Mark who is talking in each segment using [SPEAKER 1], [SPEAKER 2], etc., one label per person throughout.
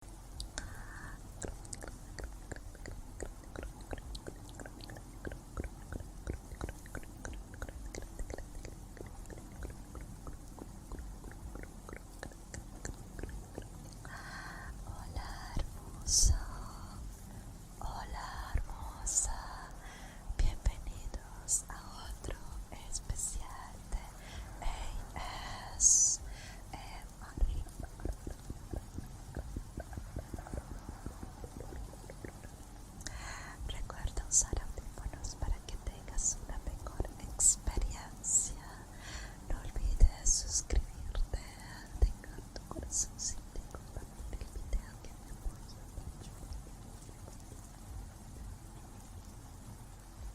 [SPEAKER 1] Hola hermosa, hola hermosa, bienvenidos a otro especial de AS Recuerda usar audífonos para que tengas una mejor experiencia. No olvides suscribirte, Tenga tu corazón si y compartir el video que me mucho.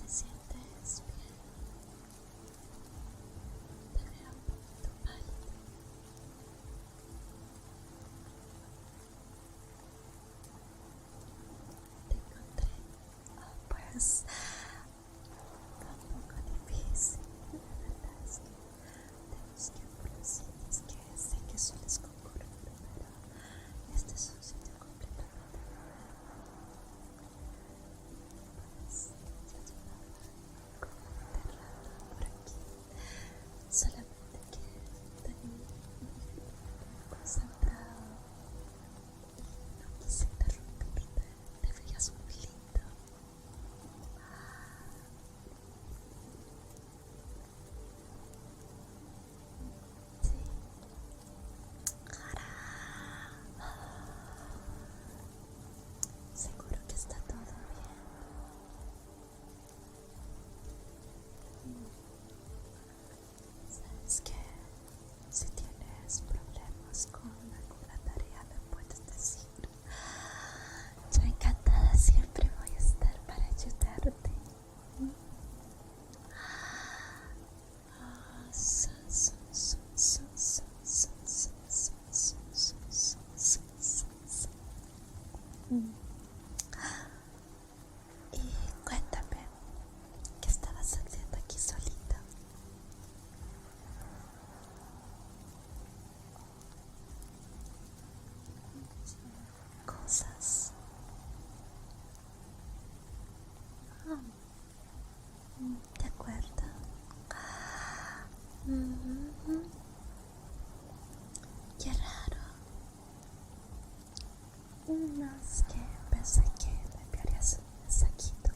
[SPEAKER 1] Te sientes bien. Te veo Te encontré. Tampoco difícil, la verdad es que de los triangulaciones que sé que sueles concurrir, pero este es un sitio completamente nuevo y pues yo llevaba como de rato por aquí, solamente que también muy concentrado. No quise interrumpirte, te veías muy lindo Sí. Seguro que está todo bien. ¿Sabes qué? Si tienes problemas con alguna tarea, me puedes decir. Yo encantada siempre voy a estar para ayudarte. Y cuéntame, ¿qué estabas haciendo aquí solita? cosas. Ah. De acuerdo. Qué raro. Unas que pensé que me enviarías un saquito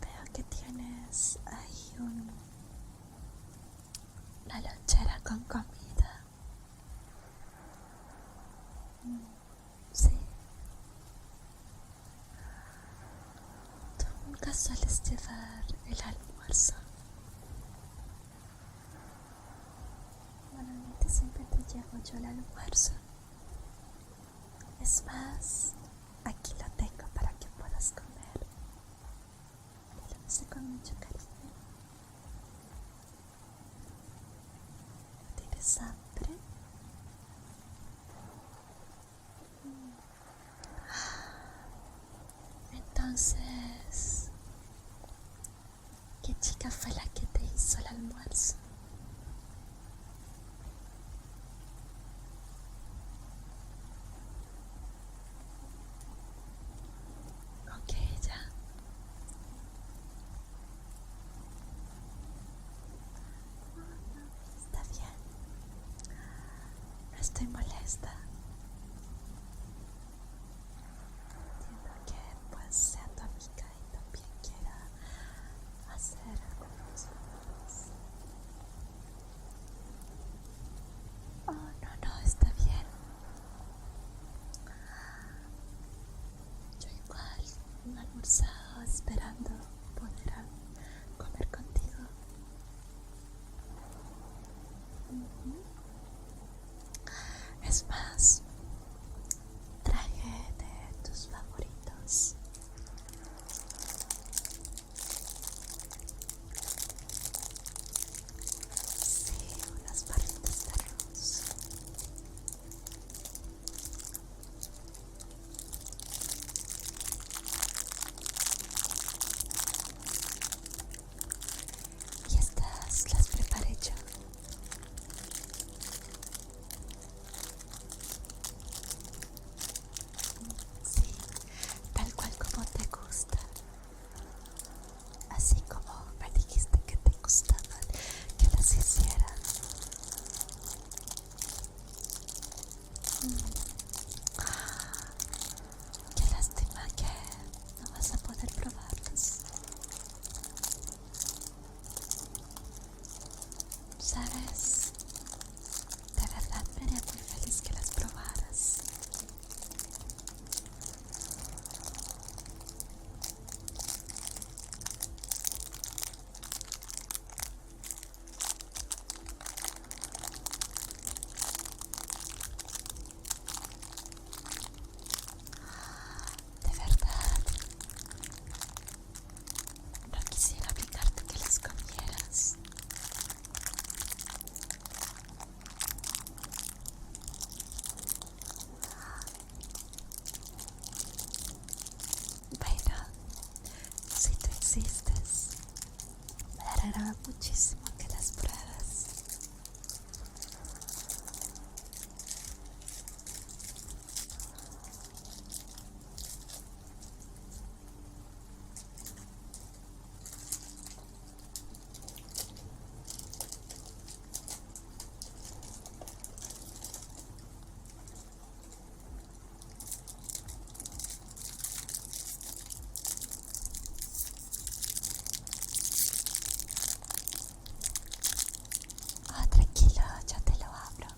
[SPEAKER 1] Veo que tienes ahí un, una lonchera con comida. Mm, sí. Tú nunca sueles llevar el almuerzo. Normalmente siempre te llevo yo el almuerzo. Es más, aquí lo tengo para que puedas comer. Te lo hice con mucho cariño. ¿Tienes hambre? Mm. Entonces, ¿qué chica fue la que te hizo el almuerzo? Ok, ya. Está bien. No estoy molesta. Entiendo que pues sea tu amiga y también quiera hacer algo. Oh, no, no, está bien. Yo igual me almorzado esperando poder comer contigo. Es más, traje de tus favoritos. Sí, unas barritas de arroz. Y estas las preparé yo. Sí, tal cual como te gusta. Así como me dijiste que te gustaban, que las hiciera. que mm. Qué lástima que no vas a poder probarlas. ¿Sabes? De verdad me haría muy feliz que las probaras. De verdad, no quisiera obligarte que las comieras. Bueno, si tú insistes, me dará muchísimo que las pruebas. Ah, tranquilo, ya te lo abro.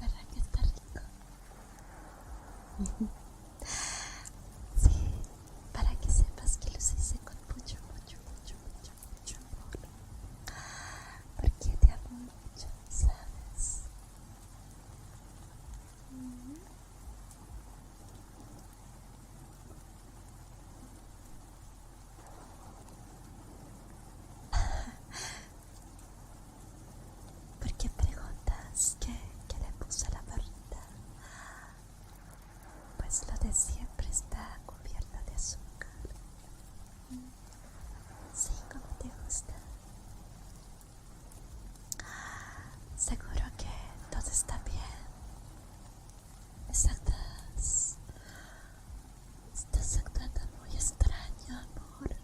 [SPEAKER 1] ¿Verdad que está rico? Sí, para que sepas que los hice con mucho, mucho, mucho, mucho, mucho amor. Porque te amo mucho, ¿sabes? Mm-hmm. ¿Por qué preguntas que le puso la verdad? Pues lo de siempre está cubierto de azúcar. Sí, como te gusta. Seguro que todo está bien. Estás. Estás actuando muy extraño, amor.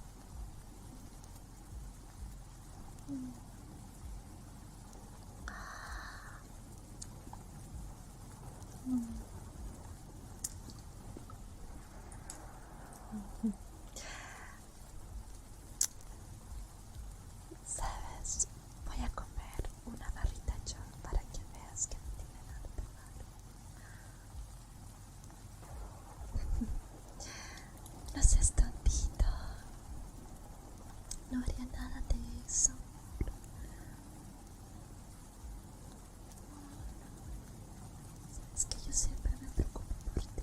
[SPEAKER 1] Sabes, voy a comer una barrita yo para que veas que no tiene nada de malo. no seas tontito. No haría nada de eso. Es que yo siempre me preocupo por ti.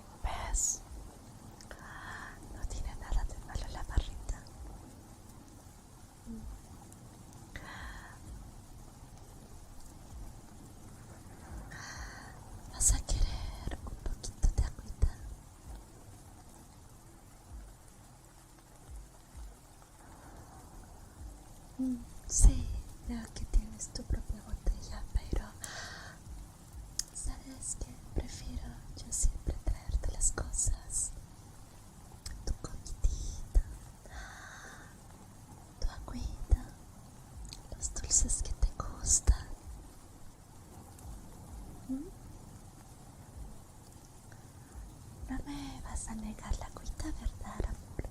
[SPEAKER 1] ¿Ves? No tiene nada de malo la barrita. ¿Vas a querer un poquito de agüita? Sí, veo que tienes tu propia botella, pero Sabes que prefiero yo siempre traerte las cosas. Tu comidita, tu agüita, los dulces que te gustan. ¿Mm? No me vas a negar la agüita, ¿verdad, amor?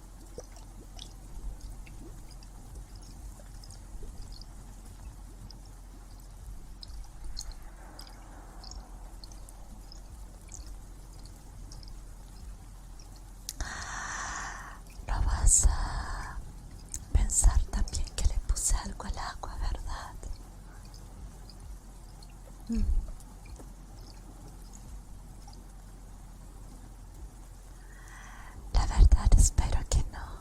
[SPEAKER 1] No vas a pensar también que le puse algo al agua, ¿verdad? Mm. La verdad espero que no.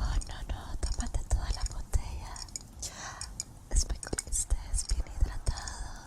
[SPEAKER 1] Oh, no, no, tómate toda la botella. Espero que estés bien hidratado.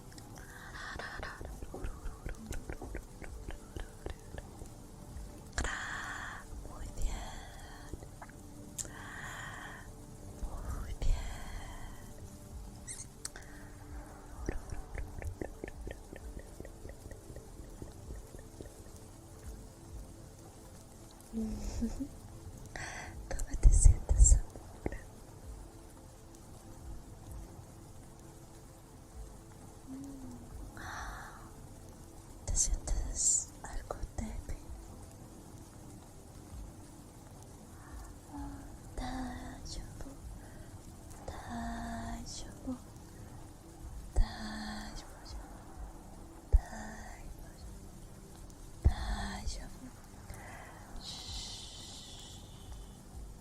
[SPEAKER 1] Muy bien. Muy bien. ¿Cómo te sientes te sientes algo débil. bien?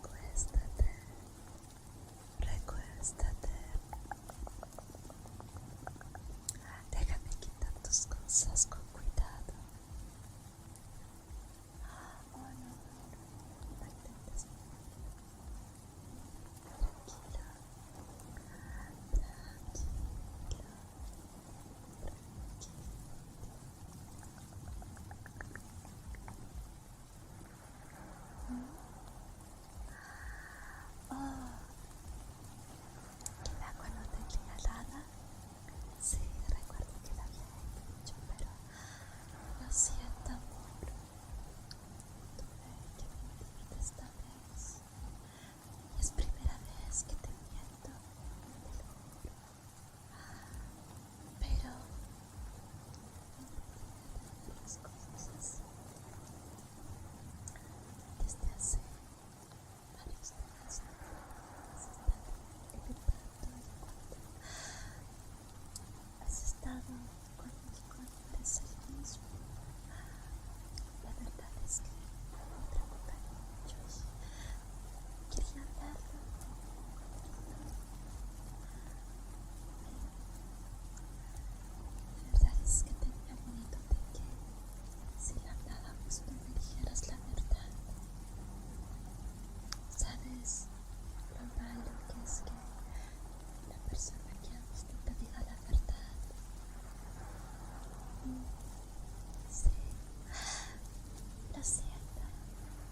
[SPEAKER 1] Recuéstate, recuéstate. Déjame quitar tus cosas con cuidado. Oh, no, no, no. ¿Qué? El agua no la helada. Sí, recuerdo que la había hecho, pero lo siento mucho. Tuve que venir esta vez. Y es primera vez que te miento, pero las cosas desde hace varios días se están evitando y cuando has estado conmigo no eres el mismo. La verdad es que me preocupa mucho y quería hablarlo. La verdad es que tenía miedo de que si la hablábamos no me dijeras la verdad. ¿Sabes lo malo que es que la persona que amas no te diga la verdad? Mm, sí, ah, lo siento.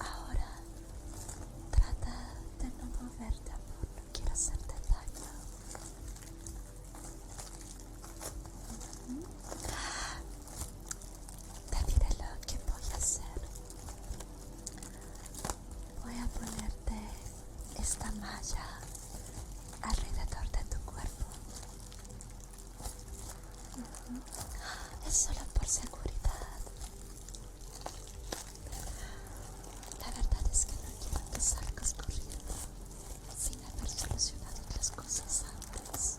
[SPEAKER 1] Ahora trata de no moverte, amor. No quiero hacerte daño. Te diré lo que voy a hacer. Voy a ponerte esta malla alrededor de tu cuerpo es solo por seguridad. La verdad es que no quiero que salgas corriendo sin haber solucionado las cosas antes.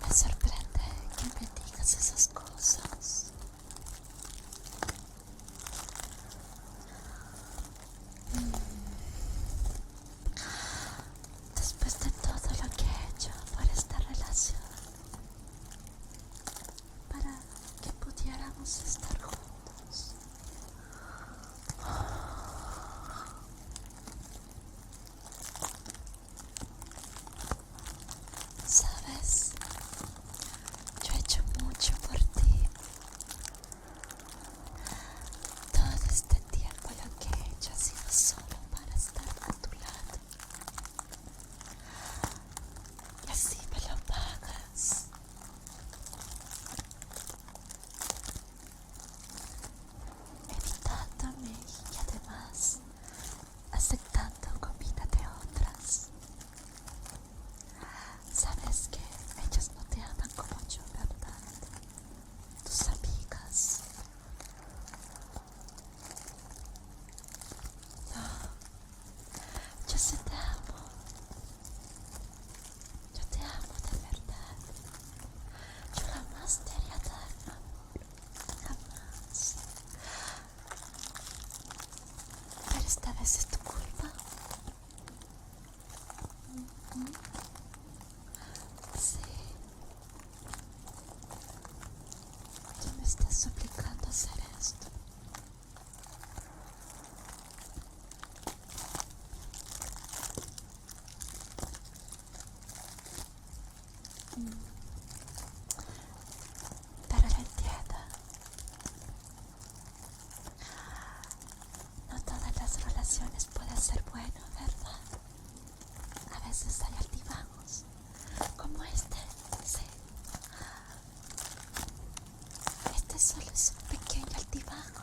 [SPEAKER 1] Me sorprende que me digas esas cosas. Después de todo lo que he hecho por esta relación, para que pudiéramos estar juntos. Sabes, yo he hecho mucho por ti. Todo este tiempo lo que he ha sido solo para estar a tu lado. Y así me lo pagas. Evitándome y además aceptando comida de otras. Sabes que ellas no te aman como yo, ¿verdad? Tus amigas Yo te amo. Yo te amo de verdad. Yo jamás te haría la Jamás. Pero esta vez es tu culpa. Sí. Tú me estás suplicando hacer esto. Mm. Pero lo No todas las relaciones pueden ser buenas, ¿verdad? a veces hay altibajos como este este solo es un pequeño altibajo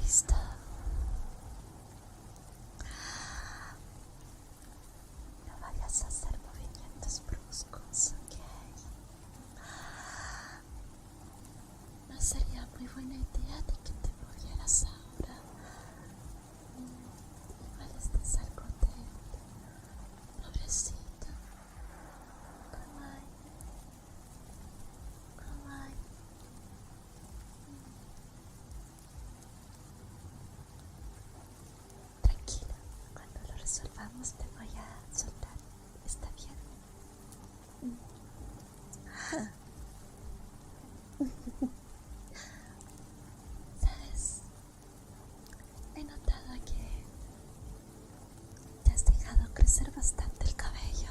[SPEAKER 1] Listo. No vayas a hacer movimientos bruscos, ¿ok? No sería muy buena idea de que te movieras ahora. Puedes descansar contento, pobrecito. calma. Kawaii. Tranquila, cuando lo resolvamos te voy a soltar. ¿Está bien? ¿Sabes? He notado que te has dejado crecer bastante el cabello.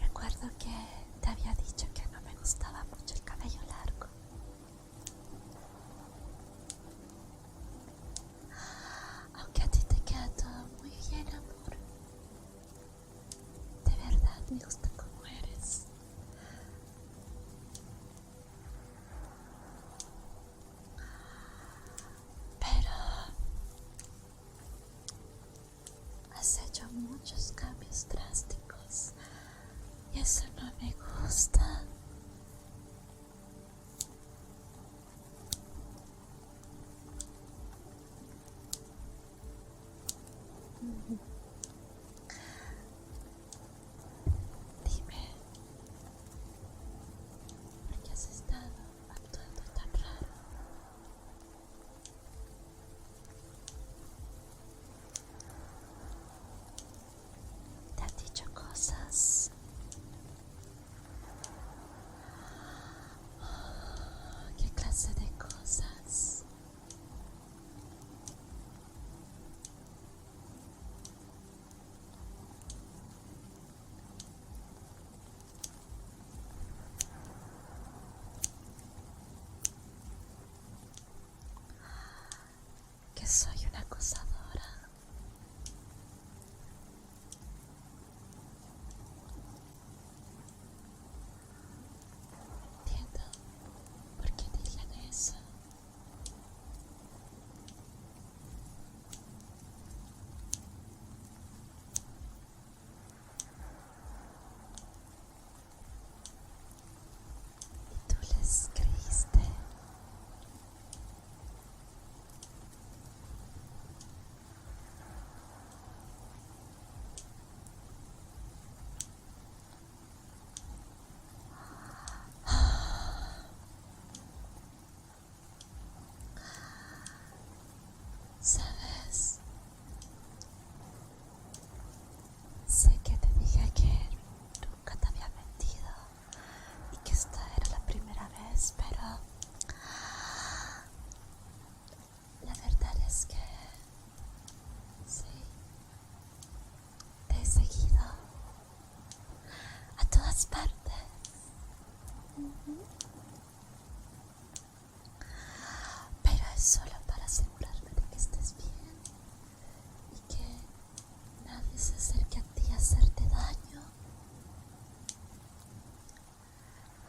[SPEAKER 1] Recuerdo que te había dicho que no me gustaba mucho el cabello largo. Aunque a ti te queda todo muy bien, amor. De verdad me gusta como eres. Pero has hecho muchos cambios drásticos y eso no me gusta. Dime, ¿por qué has estado actuando tan raro? Te ha dicho cosas qué clase de cosas que soy una acosadora. Entiendo por qué dirían eso y tú les creíste. Sabes, Sé que te dije que nunca te había mentido y que esta era la primera vez, pero la verdad es que sí, te he seguido a todas partes. Pero es solo para asegurarme de que estés bien y que nadie se acerque a ti a hacerte daño.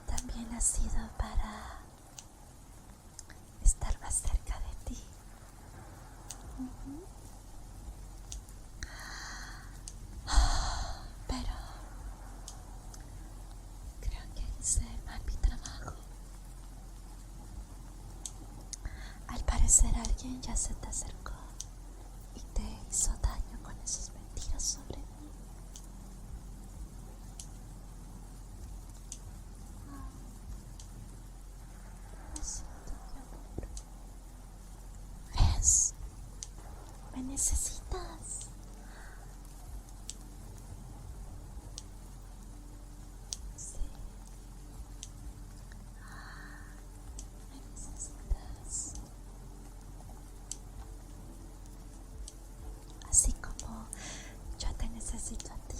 [SPEAKER 1] También ha sido para estar más cerca de ti. Pero creo que hice mal mi trabajo. Al parecer alguien ya se te acercó y te hizo daño con esos mentiras sobre mí. Ah, me necesitas. Sí. Así como yo te necesito a ti.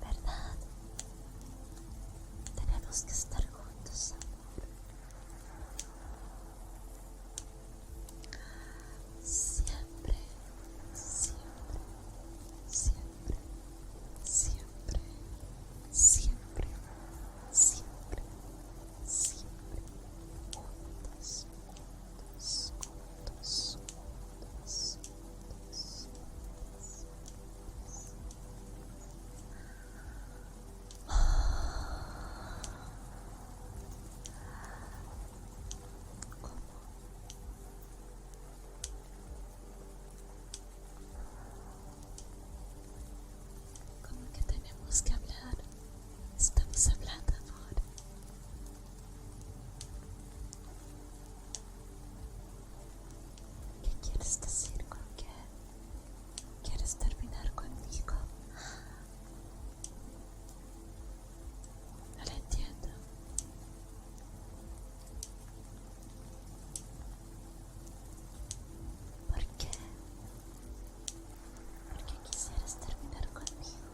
[SPEAKER 1] ¿Verdad? Tenemos que estar juntos, amor siempre, siempre, siempre, siempre, siempre, siempre, siempre, juntos, juntos, como que tenemos que hablar estamos hablando ahora ¿Qué quieres decir con qué? ¿Quieres terminar conmigo? No lo entiendo. ¿Por qué? ¿Por qué quisieras terminar conmigo?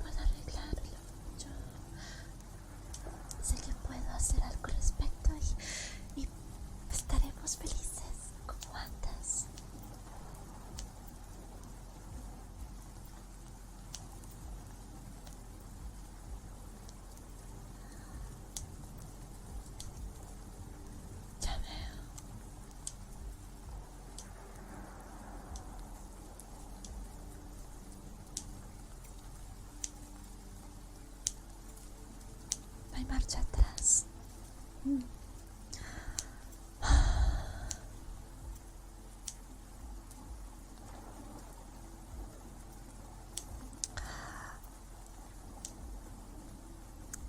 [SPEAKER 1] Puedo arreglarlo. Yo sé que puedo hacer algo al respecto y estaremos felices como antes. Ya no hay marcha atrás.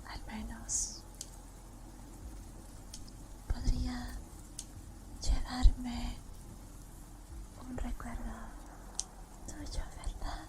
[SPEAKER 1] Al menos podría llevarme un recuerdo tuyo, ¿verdad?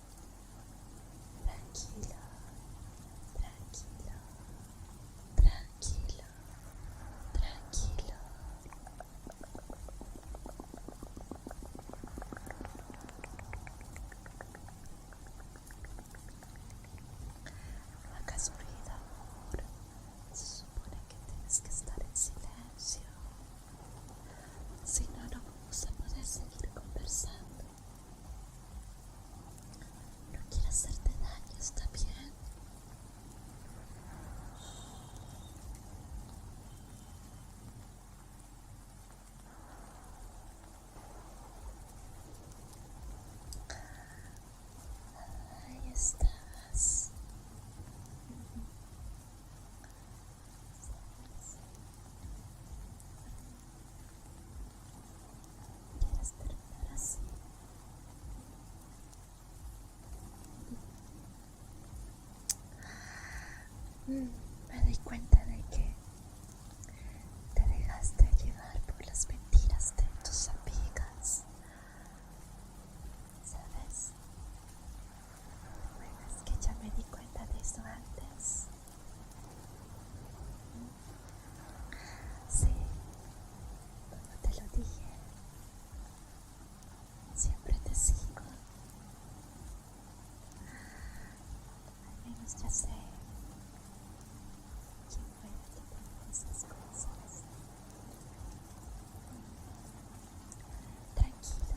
[SPEAKER 1] tranquila, tranquila, tranquila, tranquila. La casualidad, amor, se supone que tienes que estar en silencio. Si no, no vamos a poder seguir conversando. No quiero hacerte daño, ¿está bien? Ahí estás. ¿Quieres terminar así. Me di cuenta de que te dejaste llevar por las mentiras de tus amigas. ¿Sabes? Bueno, es que ya me di cuenta de eso antes. Sí, cuando te lo dije, siempre te sigo. Al menos ya sé quién fue que te esas cosas. Tranquilo,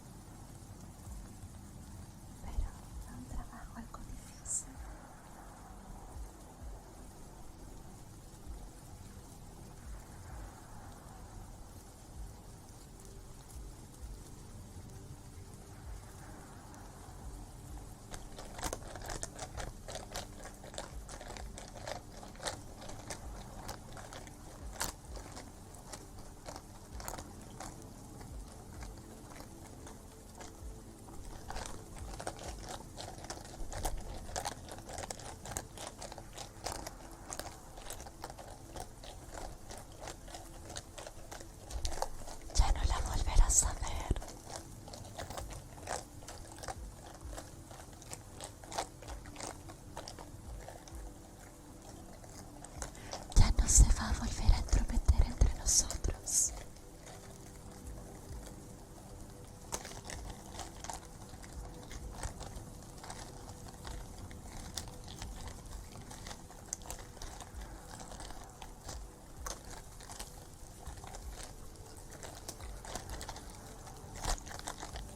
[SPEAKER 1] pero fue un trabajo algo difícil. Ya no la volverás a ver ya no se va a volver a entrometer entre nosotros.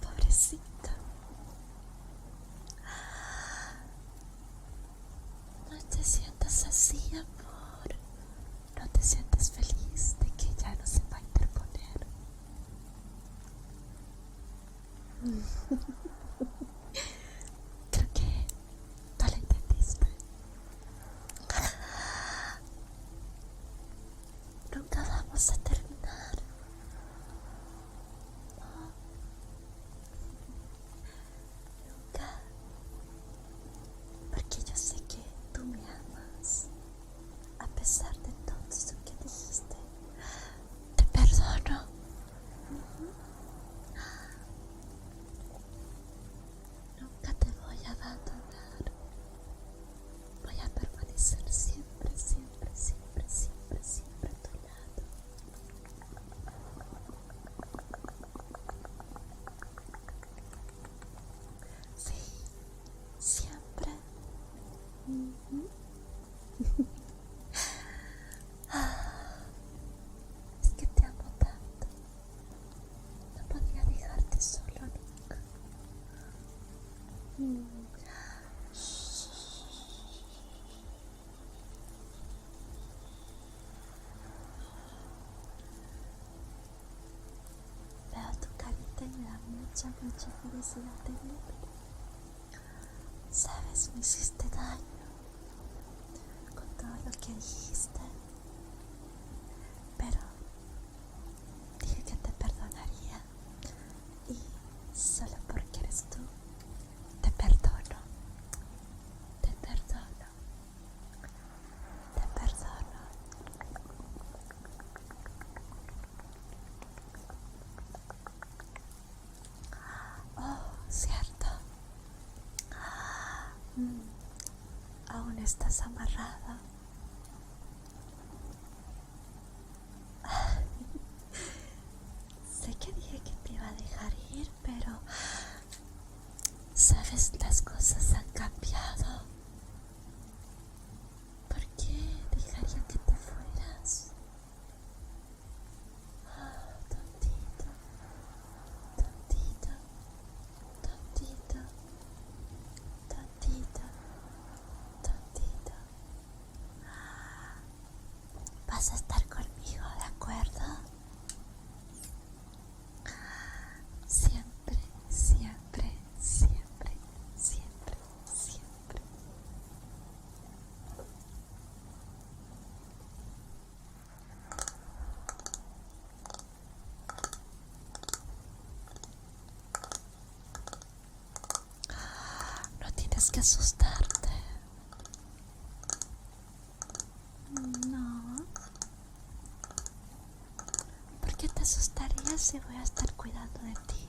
[SPEAKER 1] pobrecita No te sientas así, amor. No te sientas feliz de que ya no se va a interponer. Creo que no lo entendiste. Nunca vamos a terminar. Nunca. Porque yo sé que tú me amas a pesar de todo esto que dijiste, te perdono. Nunca te voy a abandonar. Voy a permanecer siempre, siempre, siempre, siempre, siempre a tu lado. Sí, siempre. Es que te amo tanto. No podría dejarte solo nunca. Veo tu carita y me da mucha, mucha felicidad de Sabes, me hiciste daño con todo lo que dijiste, pero dije que te perdonaría y solo porque eres tú, te perdono, te perdono, te perdono. Oh, cierto. Mm, aún estás amarrada. sé que dije que te iba a dejar ir, pero... Sabes, las cosas han cambiado. ¿Por qué dejaría que te fueras? Ah, tontito, tontito, tontito, tontito, tontito. vas a estar conmigo, ¿de acuerdo? Ah, siempre, siempre, siempre, siempre, siempre. No tienes que asustarte. No. ¿Por qué te asustarías si voy a estar cuidando de ti?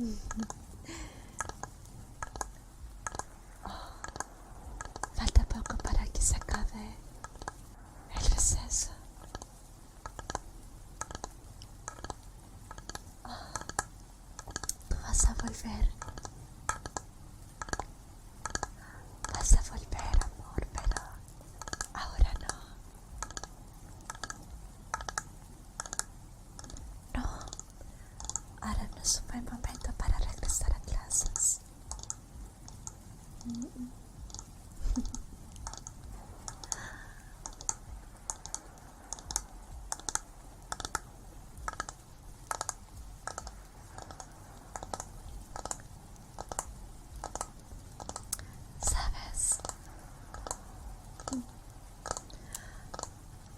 [SPEAKER 1] Falta pouco para que se acabe el receso. Oh, tu vas a volver Vas a volver, amor, pero ahora no. No, ahora no es un momento para regresar a clases. Sabes,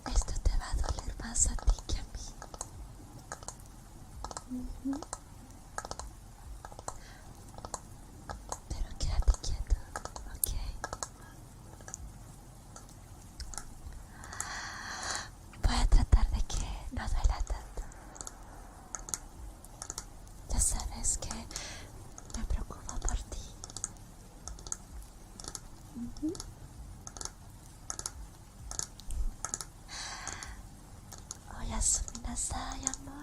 [SPEAKER 1] esto te va a doler más a ti que a mí. Pero quédate quieto, ¿ok? voy a tratar de que no duela tanto. Ya sabes que me preocupo por ti. a la asuminasai, amor.